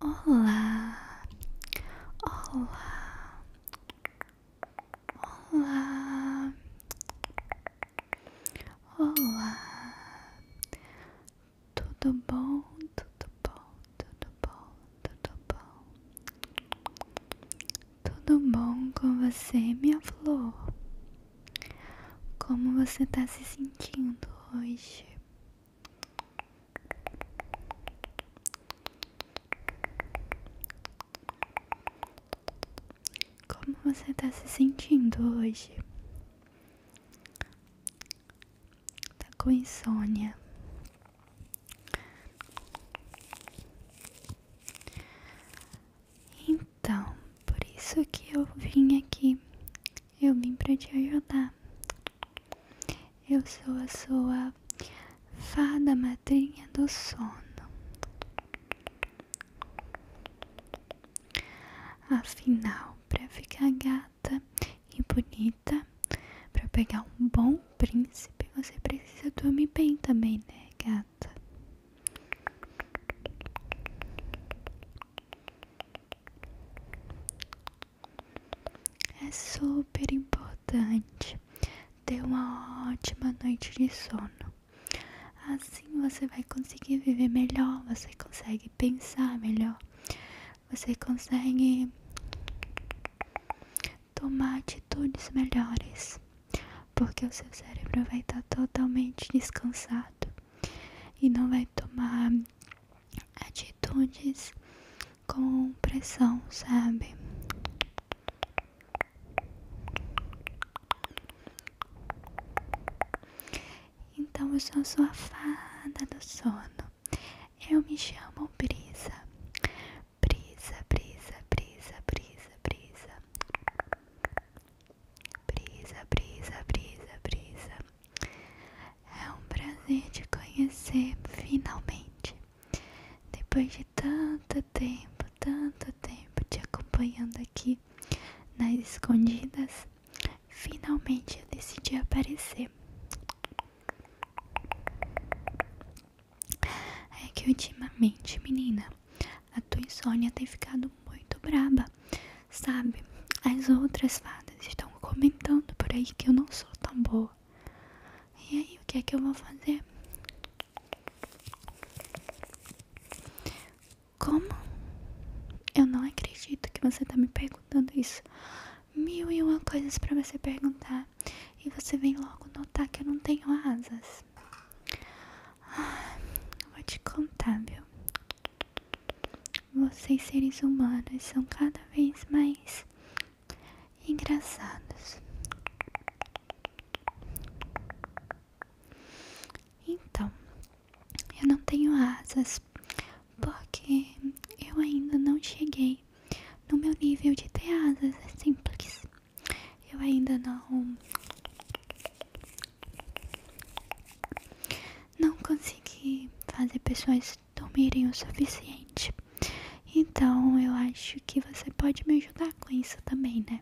Olá, olá, olá, olá, tudo bom, tudo bom, tudo bom, tudo bom, tudo bom com você, minha flor? Como você está se sentindo hoje? Como você está se sentindo hoje? Tá com insônia? Então, por isso que eu vim aqui eu vim para te ajudar. Eu sou a sua fada madrinha do sono. Afinal, para ficar gata e bonita, para pegar um bom príncipe, você precisa dormir bem também, né, gata? É super importante ter uma ótima noite de sono. Assim você vai conseguir viver melhor, você consegue pensar melhor, você consegue tomar atitudes melhores, porque o seu cérebro vai estar totalmente descansado e não vai tomar atitudes atitudes com pressão, sabe? Então eu sou sua fada do sono. Eu me chamo Brisa. Brisa, brisa, brisa, brisa, brisa. Brisa, brisa, brisa, brisa. É um prazer te conhecer finalmente. Depois de tanto tempo, tanto tempo te acompanhando aqui nas escondidas, finalmente eu decidi aparecer. É que ultimamente, menina, a tua insônia tem ficado muito braba, sabe? as outras fadas estão comentando por aí que eu não sou tão boa. E aí, o que é que eu vou fazer? Como? Eu não acredito que você está me perguntando isso. Mil e uma coisas para você perguntar. E você vem logo notar que eu não tenho asas. Ah, vou te contar, viu? Vocês, seres humanos, são cada vez mais engraçados. Então, eu não tenho asas porque eu ainda não cheguei no meu nível de ter asas é simples. Eu ainda não não consegui fazer pessoas dormirem então, o suficiente. Então eu acho que você pode me ajudar com isso também, né?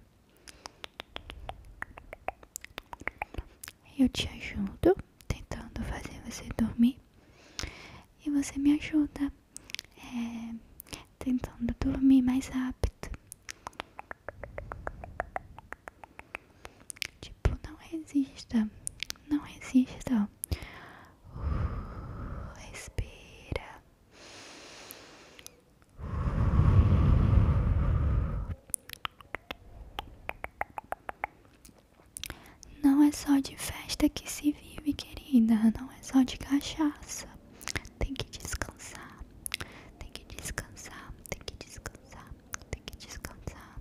Eu te ajudo tentando fazer você dormir e você me ajuda é, tentando dormir mais rápido. Tipo, não resista não existe, Uh, respira. Não é só de festa que se vive, querida. Não é só de cachaça. Tem que descansar. Tem que descansar. Tem que descansar. Tem que descansar.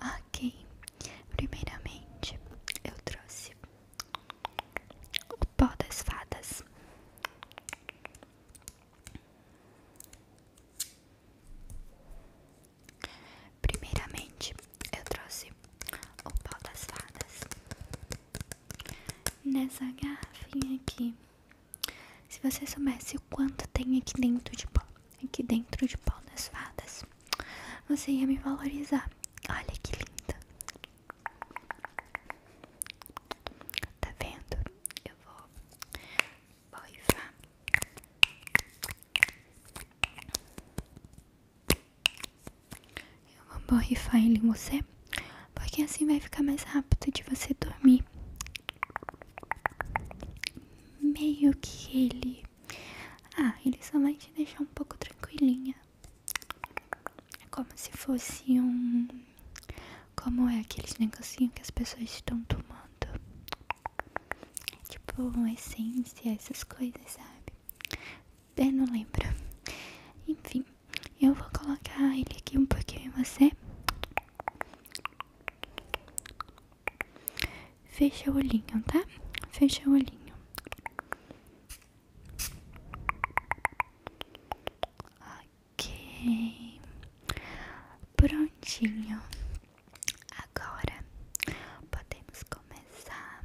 Ok, primeiramente eu trouxe o pó das fadas. Primeiramente eu trouxe o pó das fadas nessa garrafinha aqui. Se você soubesse o quanto tem aqui dentro de pó, aqui dentro de pau das fadas, você ia me valorizar. Olha que linda. Tá vendo? Eu vou boivar. Eu vou borrifar ele em você, porque assim vai ficar mais rápido de você dormir. Meio que ele. Ah, ele só vai te deixar um pouco tranquilinha. É como se fosse um. Como é aqueles negocinho que as pessoas estão tomando? Tipo, um essência, essas coisas, sabe? Eu não lembro. Enfim. Eu vou colocar ele aqui um pouquinho em você. Fecha o olhinho, tá? Fecha o olhinho. Ok. Prontinho. Agora podemos começar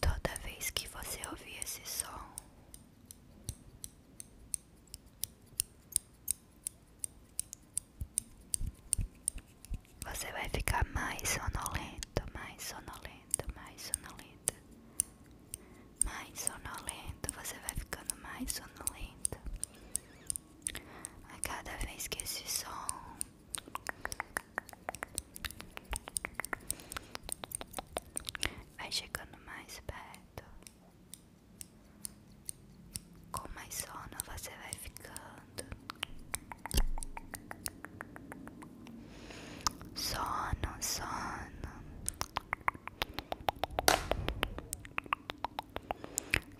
Toda vez que você ouvir esse som, você vai ficar mais sonolento, mais sonolento, mais sonolento, mais sonolento. Você vai ficando mais sonolento. A cada vez que esse som Vai chegando mais perto. Com mais sono você vai ficando. Sono, sono.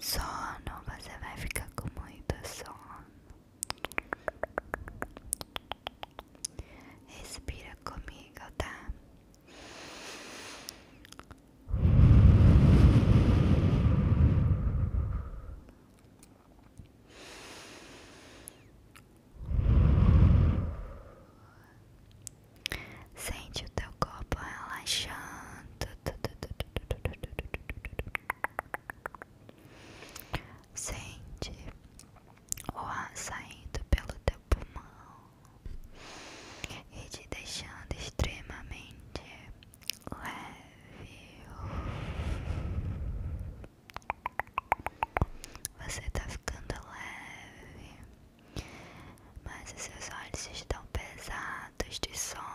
Sono, você vai ficar com muito sono. Respira comigo, tá? Sente o teu corpo relaxando. Sente o ar saindo pelo teu pulmão e te deixando extremamente leve. Você está ficando leve, mas os seus olhos estão pesados de sono.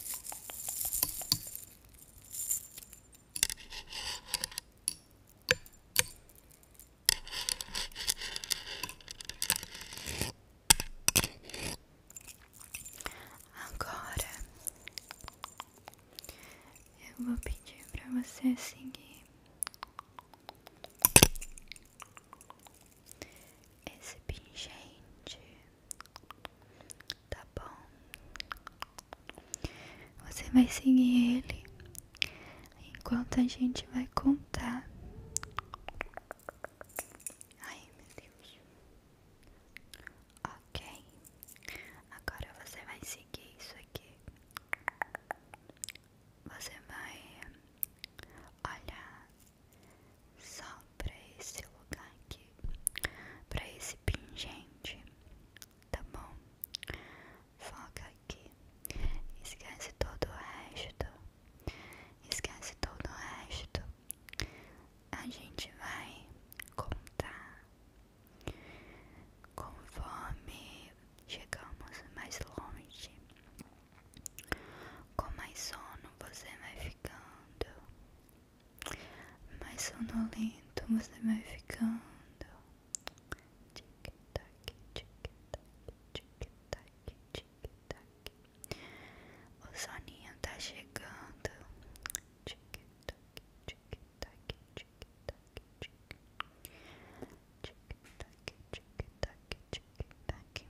Agora eu vou pedir para você seguir esse pingente Tá bom? Você vai seguir ele enquanto a gente vai contar. Ai, meu Deus. Ok. Agora você vai seguir isso aqui. Você vai olhar só pra esse lugar aqui, pra esse pingente, tá bom? Foca aqui, esquece todo o resto, esquece todo o resto. A gente vai contar conforme chegamos mais longe. Com mais sono você vai ficando, mais sonolento você vai ficando. Tic-tac, tic-tac, tic-tac, tic-tac. O soninho tá chegando. Tic-tac, tic-tac, tic-tac, tic-tac, tic-tac, tic-tac.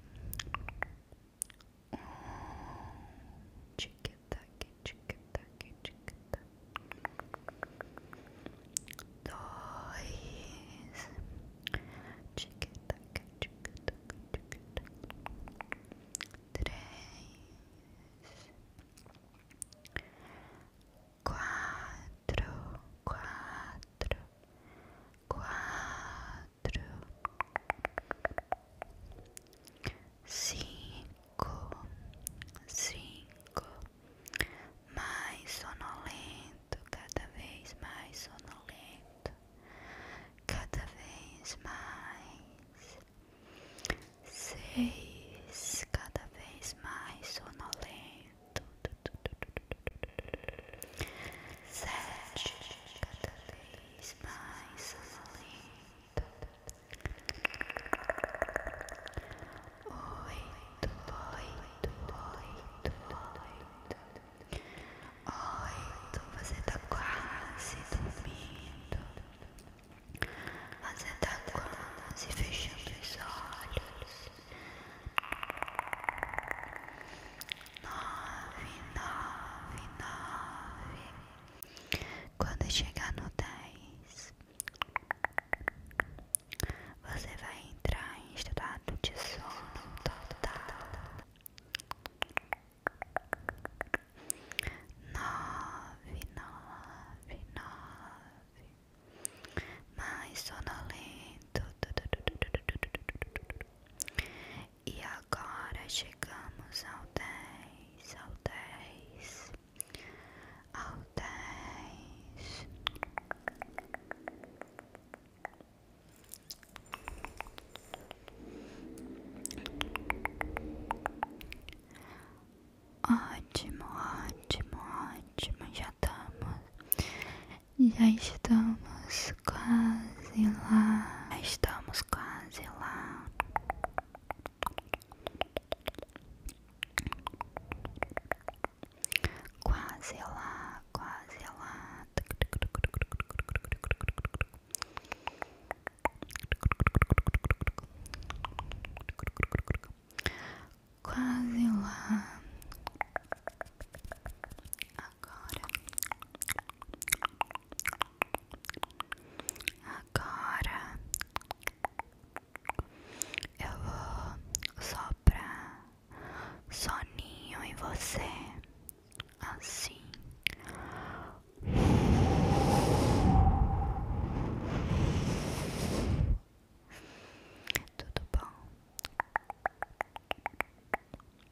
Tic-tac, tic-tac, tic-tac. Dois. Tic-tac, tic-tac, tic-tac. Três. Quatro. Quatro. Quatro cinco, cinco, mais sonolento, cada vez mais sonolento, cada vez mais seis, cada vez mais sonolento. Sete, cada Esmaça lenta. Oito, oito, oito, oito. Oito, você tá quase dormindo. Você tá quase fechando os olhos nove, nove, nove. Quando chegar no dez, você vai entrar em estado de sono total. Nove, nove, nove. Mais sonolento. E agora chegamos ao dez ao dez ao dez Ótimo, ótimo, ótimo. Já estamos, já estamos quase lá. Estamos quase lá. Quase lá, quase lá. Quase lá. Agora, agora eu vou soprar soninho em você, assim. Tudo bom?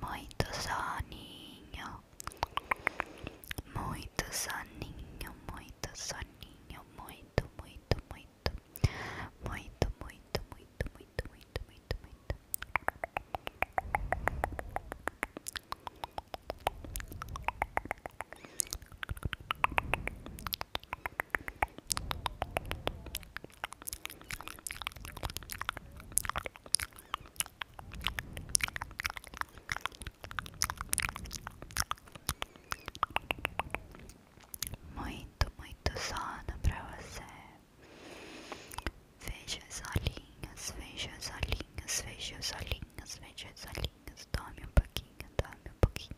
Muito soninho, muito soninho, muito soninho, muito, muito, muito. muito, muito, muito, muito, muito, muito, muito, muito, muito sono pra você. veja as olhinhas, veja as olhinhas, veja as olhinhas, veja as olhinhas. Dorme um pouquinho, dorme um pouquinho.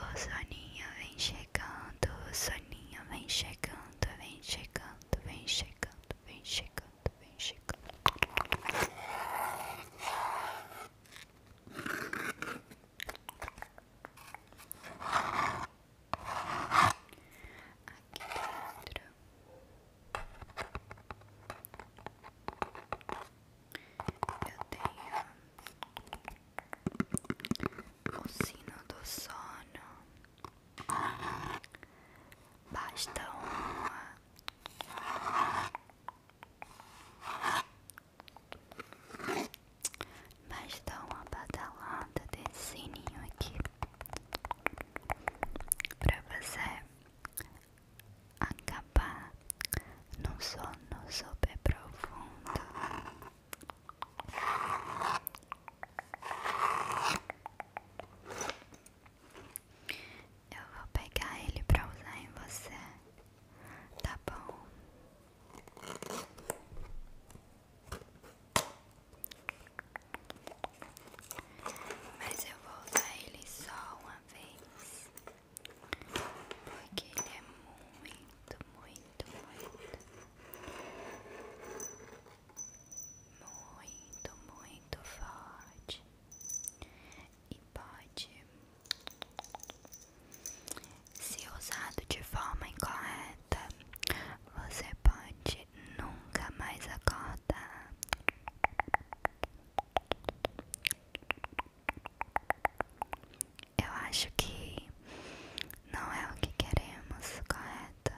O soninha vem chegando, o soninho vem chegando, vem chegando, vem chegando, vem chegando, vem chegando. Aqui dentro eu tenho o sino do sono. Basta uma mas dá uma badalada desse ninho aqui pra você acabar num sono super profundo. Eu vou pegar ele pra usar em você. Tá bom. Mas eu vou usar ele só uma vez. Porque ele é muito, muito, muito. Muito, muito forte e pode se usado de forma incorreta, você pode nunca mais acordar. Eu acho que não é o que queremos, correto?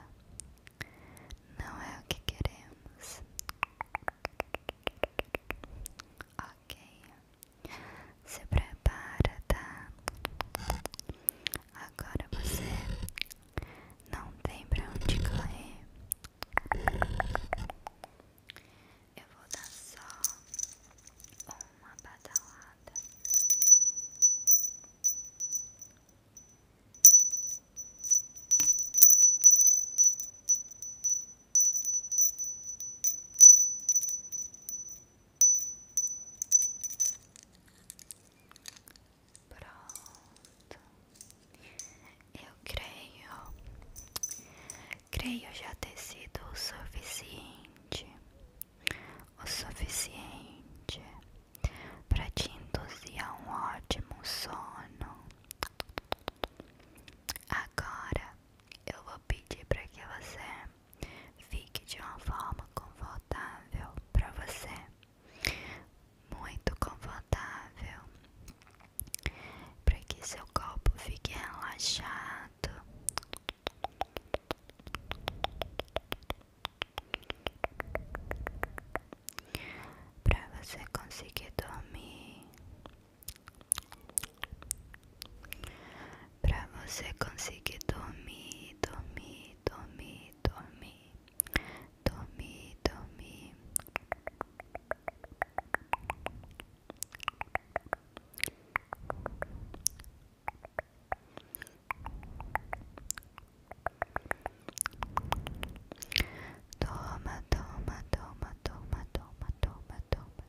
Não é o que queremos ok? Se prepara, tá? Agora você não tem pra onde correr. Eu vou dar só uma badalada. Pronto. Eu creio, creio já ter sido o suficiente, o suficiente para te induzir a um ótimo sono. Agora eu vou pedir para que você fique de uma forma confortável para você, muito confortável, para que seu corpo fique relaxado. Para você conseguir dormir Pra você conseguir dormir, dormir, dormir, dormir, dormir, dormir. Toma, toma, toma, toma, toma, toma, toma,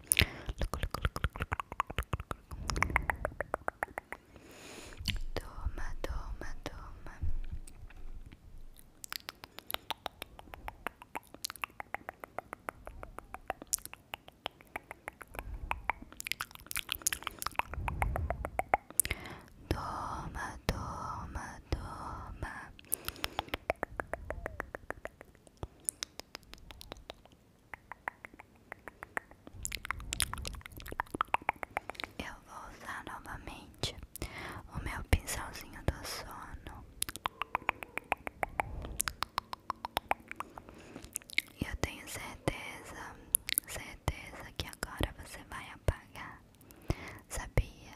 Doma, doma, doma. Doma, doma, doma. Doma, doma, doma. Eu vou usar novamente o meu pincelzinho do sono. E eu tenho certeza, certeza que agora você vai apagar. Sabia?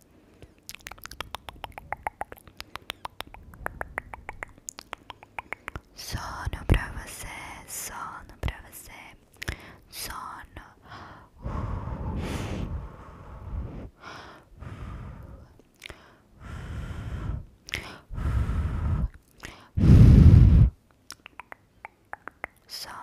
Sono pra você, sono pra você, sono. Sono.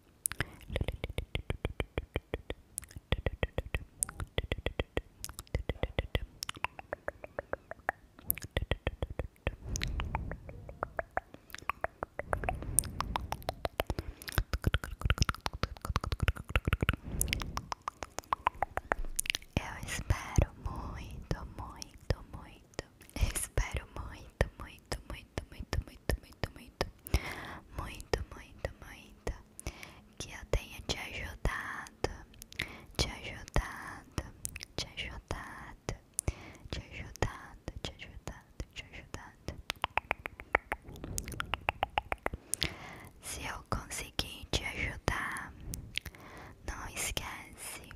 Eu espero muito, muito, muito. espero muito, muito, muito muito, muito, muito, muito, muito, muito, muito, muito, que eu tenha te ajudado, te ajudado, te ajudado, te ajudado, te ajudado, te ajudado. Se eu conseguir te ajudar, não esquece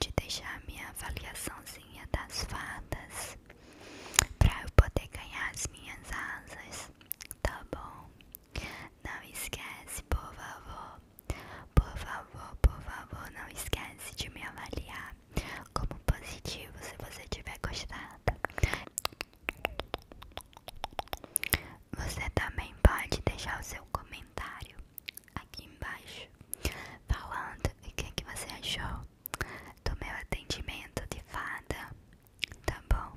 de deixar minha avaliaçãozinha das fadas pra eu poder ganhar as minhas asas, tá bom? Não esquece, por favor, por favor, por favor, não esquece de me avaliar como positivo se você tiver gostado. Você também pode deixar o seu comentário aqui embaixo falando o que, é que você achou do meu atendimento de fada, tá bom?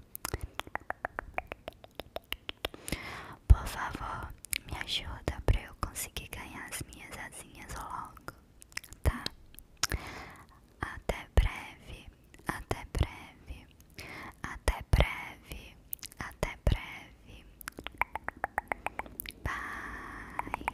Por favor, me ajuda pra eu conseguir ganhar as minhas asinhas logo, tá? Até breve, até breve, até breve, até breve. Bye.